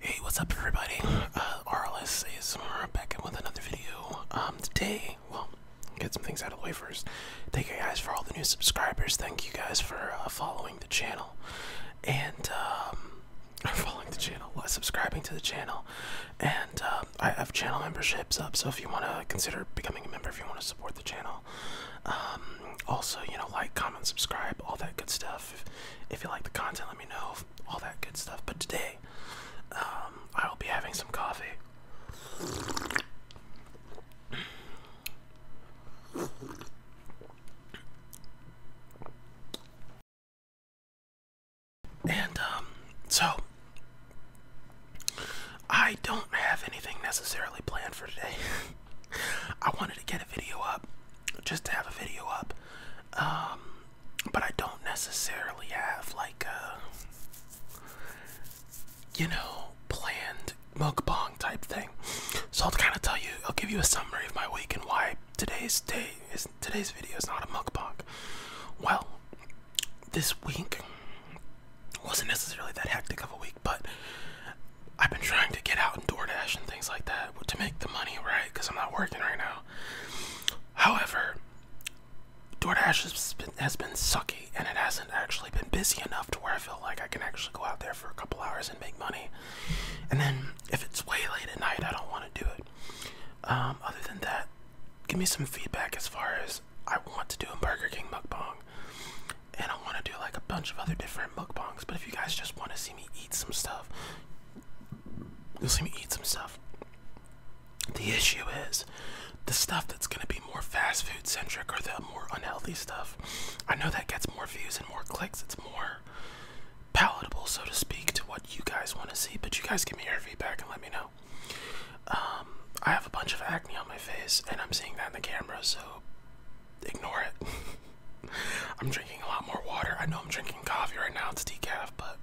Hey, what's up everybody? Uh, RLS is back in with another video. Um, today, well, get some things out of the way first. Thank you guys for all the new subscribers. Thank you guys for uh, following the channel. And, um, following the channel, uh, subscribing to the channel. And, um, I have channel memberships up, so if you want to consider becoming a member, if you want to support the channel. Um, also, you know, like, comment, subscribe, all that good stuff. If, you like the content, let me know all that good stuff. But today, um, I will be having some coffee. And, um, so, I don't have anything necessarily planned for today. I wanted to get a video up, just to have a video up, um, but I don't necessarily have like a, you know, planned bong type thing. So I'll kind of tell you, I'll give you a summary of my week and why today's day is today's video is not a bong. Well, this week wasn't necessarily that hectic of a week, but I've been trying to get out and DoorDash and things like that to make the money, right? Because I'm not working right now. However, DoorDash has been, has been sucky and it hasn't actually been busy enough to where I feel like I can actually go out there for a couple hours and make money. And then if it's way late at night, I don't want to do it. Um, other than that, give me some feedback as far as I want to do a Burger King mukbang. And I want to do like a bunch of other different mukbangs. But if you guys just want to see me eat some stuff, You'll see me eat some stuff. The issue is the stuff that's going to be more fast food centric or the more unhealthy stuff. I know that gets more views and more clicks. It's more palatable, so to speak, to what you guys want to see. But you guys give me your feedback and let me know. Um, I have a bunch of acne on my face, and I'm seeing that in the camera, so ignore it. I'm drinking a lot more water. I know I'm drinking coffee right now, it's decaf, but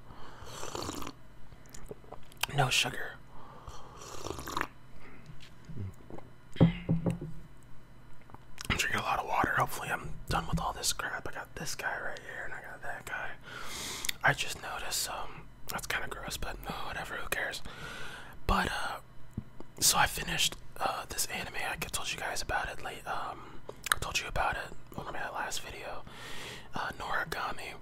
no sugar. I'm drinking a lot of water. Hopefully, I'm done with all this crap. I got this guy right here, and I got that guy. I just noticed, um, that's kind of gross, but whatever, who cares? But, uh, so I finished, uh, this anime. I told you guys about it late, um, I told you about it on my last video. Uh, Noragami.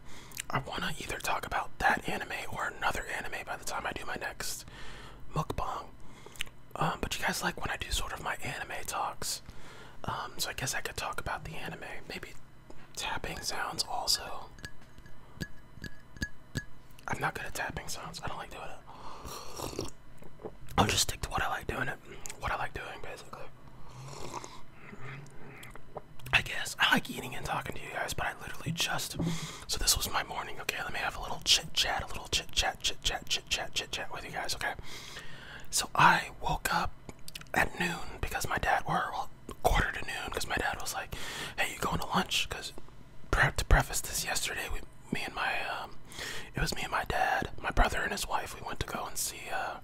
I want to either talk about that anime or another anime by the time I do my next mukbang. Um, but you guys like when I do sort of my anime talks. Um, so I guess I could talk about the anime. Maybe tapping sounds also. I'm not good at tapping sounds. I don't like doing it. I'll just stick to what I like doing. What I like doing, basically. I guess I like eating and talking to you guys, but I literally just. So this was my morning. Okay, let me have a little chit chat, a little chit chat, chit chat, chit chat, chit chat with you guys. Okay. So I woke up at noon because my dad were quarter to noon because my dad was like, "Hey, you going to lunch?" Because to preface this, yesterday we me and my um, it was me and my dad, my brother and his wife. We went to go and see uh,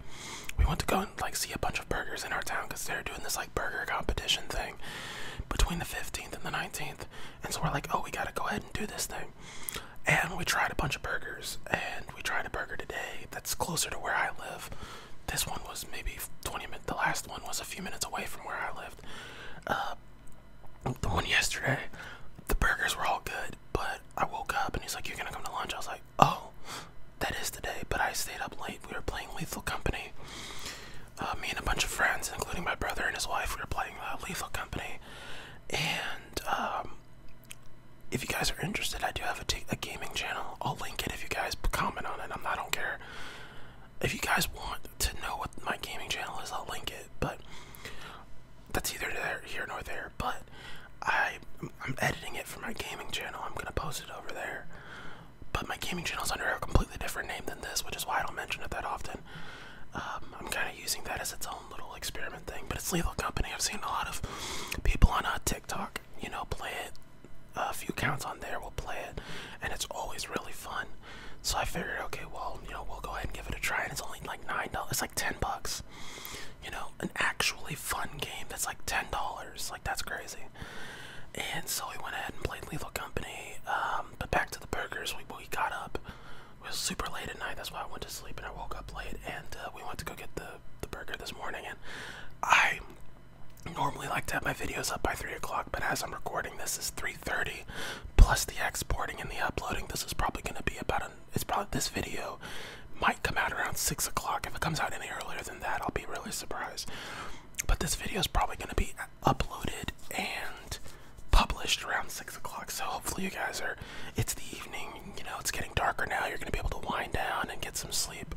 we went to go and like see a bunch of burgers in our town because they're doing this like burger competition thing between the 15th and the 19th. And so we're like, oh, we gotta go ahead and do this thing. And we tried a bunch of burgers, and we tried a burger today that's closer to where I live. This one was maybe 20 minutes. The last one was a few minutes away from where I lived. Uh, the one yesterday, the burgers were all good, but I woke up and he's like, You're gonna come to lunch? I was like, Oh, that is today, but I stayed up late. We were playing Lethal Company. Uh, me and a bunch of friends, including my brother and his wife, we were playing uh, Lethal Company. And um, if you guys are interested, I do have a, gaming channel. I'll link it if you guys comment on it. I'm, I don't care. If you guys want to know what my gaming channel is, I'll link it. But that's either there, here nor there. But I, I'm editing it for my gaming channel. I'm gonna post it over there. But my gaming channel is under a completely different name than this, which is why I don't mention it that often. Um, I'm kind of using that as its own little experiment thing. But it's Lethal Company. I've seen a lot of people on uh, TikTok, you know, play it. A few counts on there will play it, and it's always really fun. So I figured, okay, well, you know, we'll go ahead and give it a try. And it's only like nine dollars. It's like ten bucks. You know, an actually fun game that's like ten dollars. Like that's crazy. And so we went ahead and played Lethal Company. Um, but back to the burgers. We we got up. It was super late at night. That's why I went to sleep and I woke up late. And uh, we went to go get the the burger this morning. And I normally like to have my videos up by three o'clock, but as I'm recording this, is three 30 plus the exporting and the uploading this is probably going to be about an it's probably this video might come out around six o'clock if it comes out any earlier than that i'll be really surprised but this video is probably going to be uploaded and published around six o'clock so hopefully you guys are it's the evening you know it's getting darker now you're going to be able to wind down and get some sleep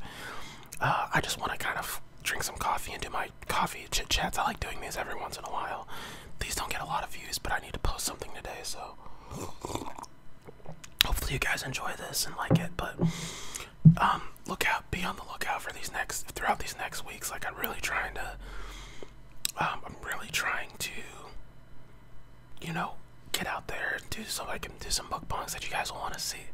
uh, i just want to kind of drink some coffee and do my coffee chit chats i like doing these every once in a while these don't get a lot of views, but I need to post something today, so hopefully you guys enjoy this and like it. But um, look out, be on the lookout for these next throughout these next weeks. Like I'm really trying to, um, I'm really trying to, you know, get out there do so I can do some mukbangs that you guys want to see.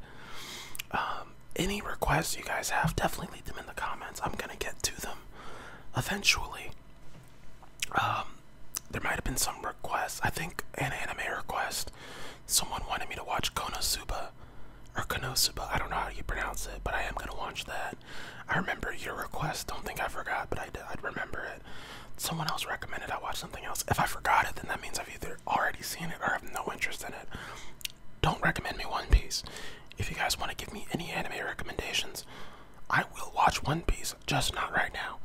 Um, any requests you guys have, definitely leave them in the comments. I'm gonna get to them eventually. Um, there might have been some requests. I think an anime request. Someone wanted me to watch Konosuba or Konosuba. I don't know how you pronounce it, but I am gonna watch that. I remember your request. Don't think I forgot, but I I'd remember it. Someone else recommended I watch something else. If I forgot it, then that means I've either already seen it or have no interest in it. Don't recommend me One Piece. If you guys want to give me any anime recommendations, I will watch One Piece, just not right now.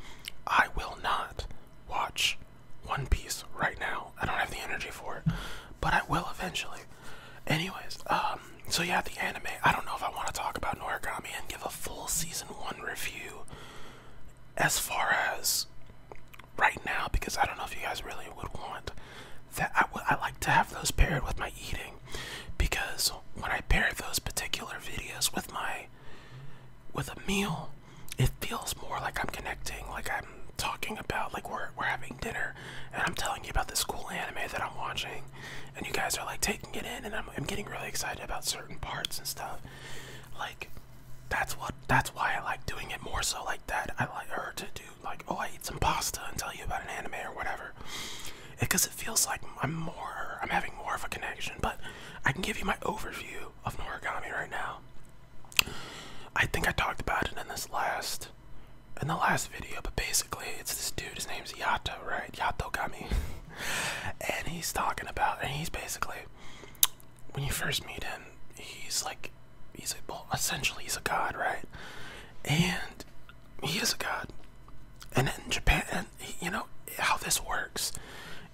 I will not watch One Piece right now. I don't have the energy for it, but I will eventually. Anyways, um, so yeah, the anime. I don't know if I want to talk about Noragami and give a full season one review as far as right now because I don't know if you guys really would want that. I would. I like to have those paired with my eating because when I pair those particular videos with my with a meal, it feels more like I'm connecting, like I'm talking about, like we're we're having dinner, and I'm telling you about this cool anime that I'm watching, and you guys are like taking it in, and I'm I'm getting really excited about certain parts and stuff, like that's what that's why I like doing it more so like that. I like her to do like oh I eat some pasta and tell you about an anime or whatever because it feels like I'm more, I'm having more of a connection. But I can give you my overview of noragami right now. I think I talked about it in this last, in the last video. But basically, it's this dude. His name's Yato, right? Yato Gami, and he's talking about, and he's basically, when you first meet him, he's like, he's a, well, essentially he's a god, right? And he is a god. And in Japan, you know how this works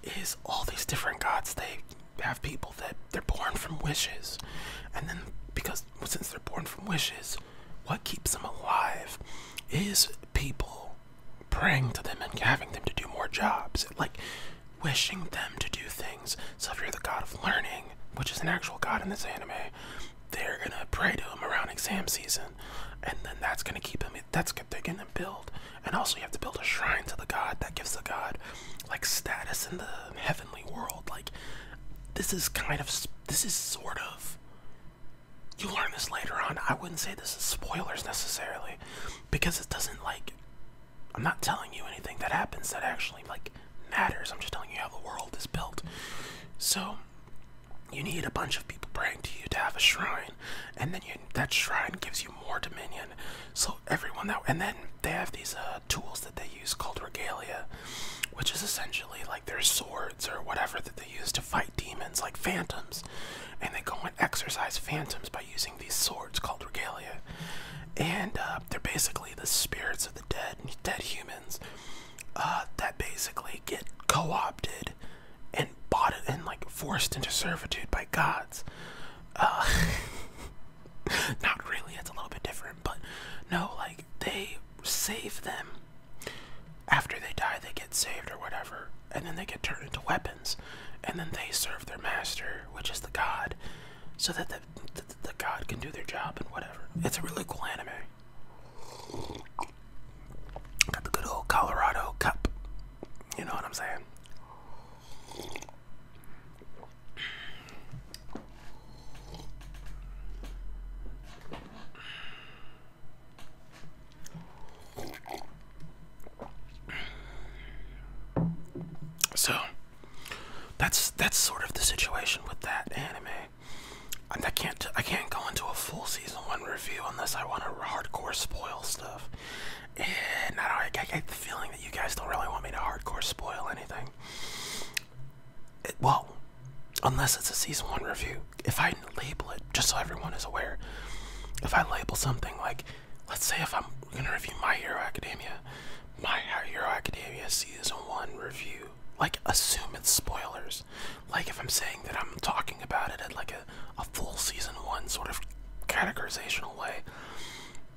is all these different gods. They have people that they're born from wishes, and then because since they're born from wishes, what keeps them alive is people praying to them and having them to do more jobs, like wishing them to do things. So if you're the god of learning, which is an actual god in this anime, they're gonna pray to him around exam season, and then that's gonna keep him. That's they're gonna build, and also you have to build a shrine to the god that gives the god like status in the heavenly world. Like this is kind of this is sort of. You learn this later on. I wouldn't say this is spoilers necessarily, because it doesn't like. I'm not telling you anything that happens that actually like matters. I'm just telling you how the world is built. So you need a bunch of people praying to you to have a shrine, and then that shrine gives you more dominion. So everyone that, and then they have these uh, tools that they use called regalia, which is essentially like their swords or whatever that they use to fight demons, like phantoms, and they go and exorcise phantoms by using these swords called regalia, and uh, they're basically the spirits of the dead, dead humans uh, that basically get co-opted and bought it and like forced into servitude by gods. Uh, not really, it's a little bit different, but no, like they save them. After they die, they get saved or whatever, and then they get turned into weapons, and then they serve their master, which is the god, so that the, the god can do their job and whatever. It's a really cool anime. Got the good old Colorado cup. You know what I'm saying? So that's that's sort of the situation with that anime. I can't I can't go into a full season one review unless I want to hardcore spoil stuff. And I, don't, I get the feeling that you guys don't really want me to hardcore spoil anything. well, unless it's a season one review. If I label it, just so everyone is aware, if I label something like, let's say if I'm gonna review My Hero Academia, My Hero Academia season one review, like assume it's spoilers like if I'm saying that I'm talking about it in like a, a full season one sort of categorizational way,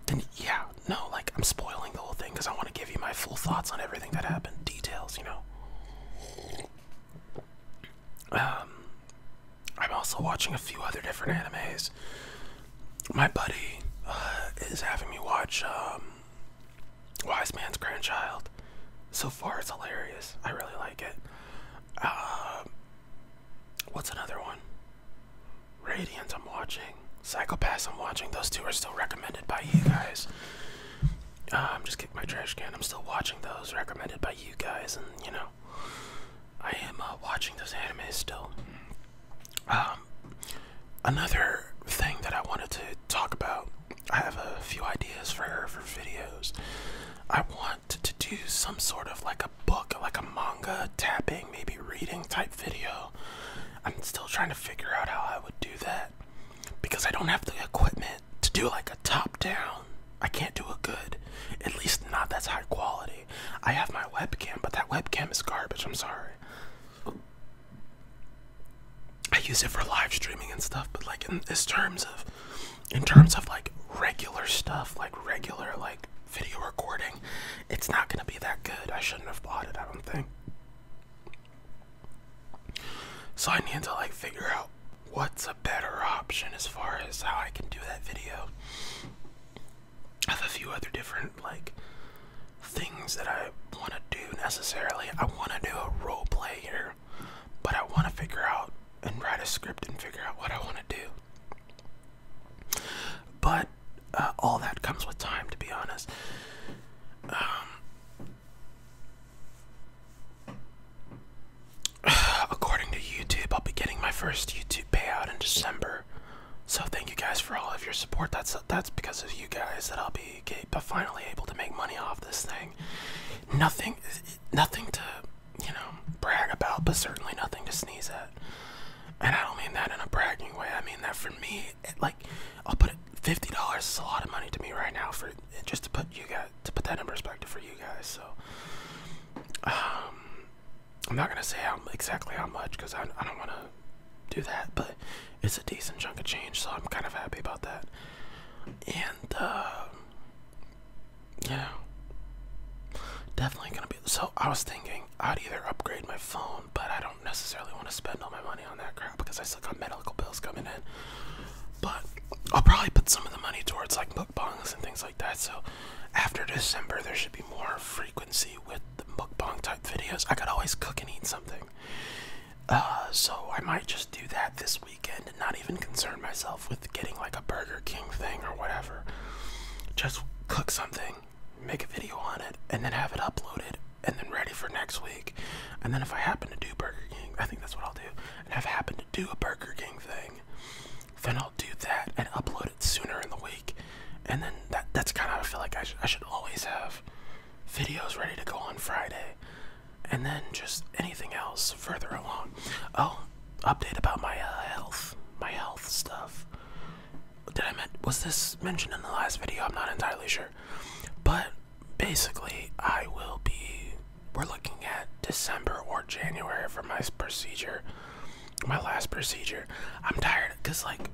then yeah, no, like I'm spoiling the whole thing because I want to give you my full thoughts on everything that happened, details, you know. Um, I'm also watching a few other different animes. My buddy uh, is having me watch um, Wise Man's Grandchild. So far, it's hilarious. I really like it. Um, what's another one? Radiant, I'm watching. Psychopaths, I'm watching. Those two are still recommended by you guys. Uh, I'm just kicking my trash can. I'm still watching those recommended by you guys, and you know, I am uh, watching those anime still. Um, another thing that I wanted to talk about I have a few ideas for for videos. I want to do some sort of like a book, like a manga tapping, maybe reading type video. I'm still trying to figure out how I would do that because I don't have the equipment to do like a top down. I can't do it good. At least not that's high quality. I have my webcam, but that webcam is garbage. I'm sorry. I use it for live streaming and stuff, but like in terms of in terms of like regular stuff, like regular like video recording, it's not gonna be that good. I shouldn't have bought it, I don't think. So I need to like figure out what's a better option as far as how I can do that video. I have a few other different like things that I want to do necessarily. I want to do a role play here, but I want to figure out and write a script and figure out what I want to do. But uh, all that comes with time, to be honest. Um, according to YouTube, I'll be getting my first YouTube payout in December. So thank you guys for all of your support. That's that's because of you guys that I'll be but finally able to make money off this thing. Nothing, nothing to, you know, brag about, but certainly nothing to sneeze at. And I don't mean that in a bragging way. I mean that for me, like, I'll put it. Fifty dollars is a lot of money to me right now for just to put you guys to put that in perspective for you guys. So, um, I'm not gonna say how exactly how much because I don't want to do that, but it's a decent chunk of change, so I'm kind of happy about that. And, uh, yeah, definitely gonna be. So, I was thinking I'd either upgrade my phone, but I don't necessarily want to spend all my money on that crap because I still got medical bills coming in. But I'll probably put some of the money towards like mukbangs and things like that. So, after December, there should be more frequency with the mukbang type videos. I could always cook and eat something. Uh, so I might just do that this weekend and not even concern myself with getting like a Burger King thing or whatever. Just cook something, make a video on it, and then have it uploaded and then ready for next week. And then if I happen to do Burger King, I think that's what I'll do. And if I happen to do a Burger King thing, then I'll do that and upload it sooner in the week. And then that, that's kind of, I feel like I, I should always have videos ready to go on Friday, and then just anything else further along. Oh, update about my uh, health, my health stuff. Did I meant was this mentioned in the last video? I'm not entirely sure, but basically, I will be. We're looking at December or January for my procedure, my last procedure. I'm tired because like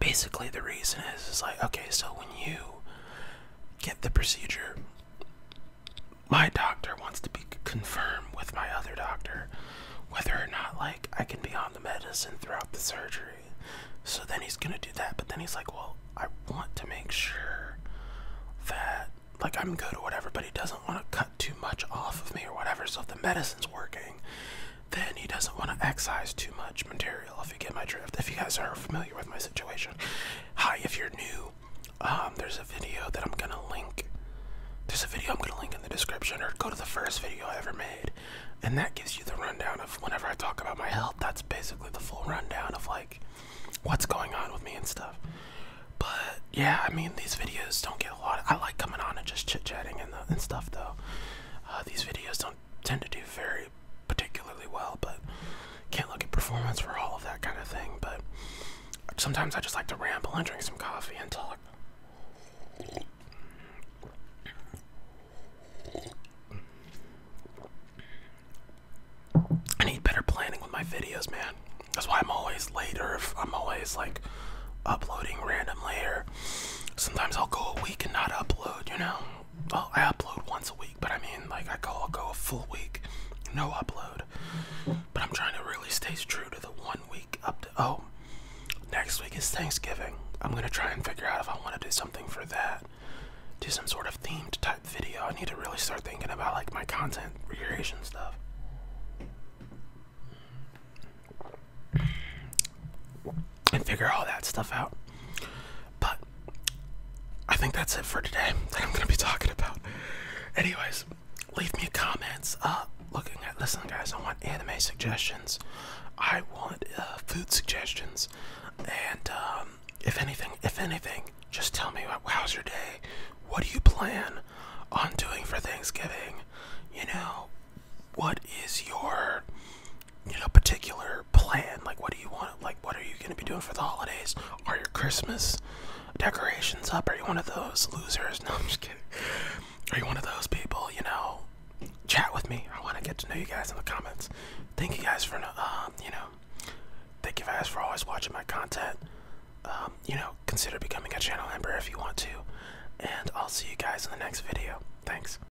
basically the reason is is like okay so when you get the procedure. My doctor wants to be confirmed with my other doctor whether or not like I can be on the medicine throughout the surgery. So then he's gonna do that, but then he's like, well, I want to make sure that like I'm good or whatever, but he doesn't want to cut too much off of me or whatever. So if the medicine's working, then he doesn't want to excise too much material, if you get my drift. If you guys are familiar with my situation. Hi, if you're new, um, there's a video that I'm gonna link. There's a video I'm gonna link in the description, or go to the first video I ever made, and that gives you the rundown of whenever I talk about my health. That's basically the full rundown of like what's going on with me and stuff. But yeah, I mean these videos don't get a lot. Of, I like coming on and just chit chatting and, the, uh, and stuff though. Uh, these videos don't tend to do very particularly well, but can't look at performance for all of that kind of thing. But sometimes I just like to ramble and drink some coffee and talk. I need better planning with my videos, man. That's why I'm always late, or if I'm always like uploading randomly, or sometimes I'll go a week and not upload, you know? well, I upload once a week, but I mean, like, I call go a full week, no upload. But I'm trying to really stay true to the one week up to. Oh, next week is Thanksgiving. I'm gonna try and figure out if I want to do something for that. Do some sort of themed type video. I need to really start thinking about like my content creation stuff and figure all that stuff out. But I think that's it for today that I'm gonna be talking about. Anyways, leave me comments. Uh, looking at listen, guys, I want anime suggestions. I want uh, food suggestions, and um, if anything, if anything, just tell me what, how's your day. What do you plan on doing for Thanksgiving? You know, what is your you know, particular plan. Like, what do you want? Like, what are you going to be doing for the holidays? Are your Christmas decorations up? Are you one of those losers? No, I'm just kidding. Are you one of those people? You know, chat with me. I want to get to know you guys in the comments. Thank you guys for, uh, you know, thank you guys for always watching my content. Um, you know, consider becoming a channel member if you want to. And I'll see you guys in the next video. Thanks.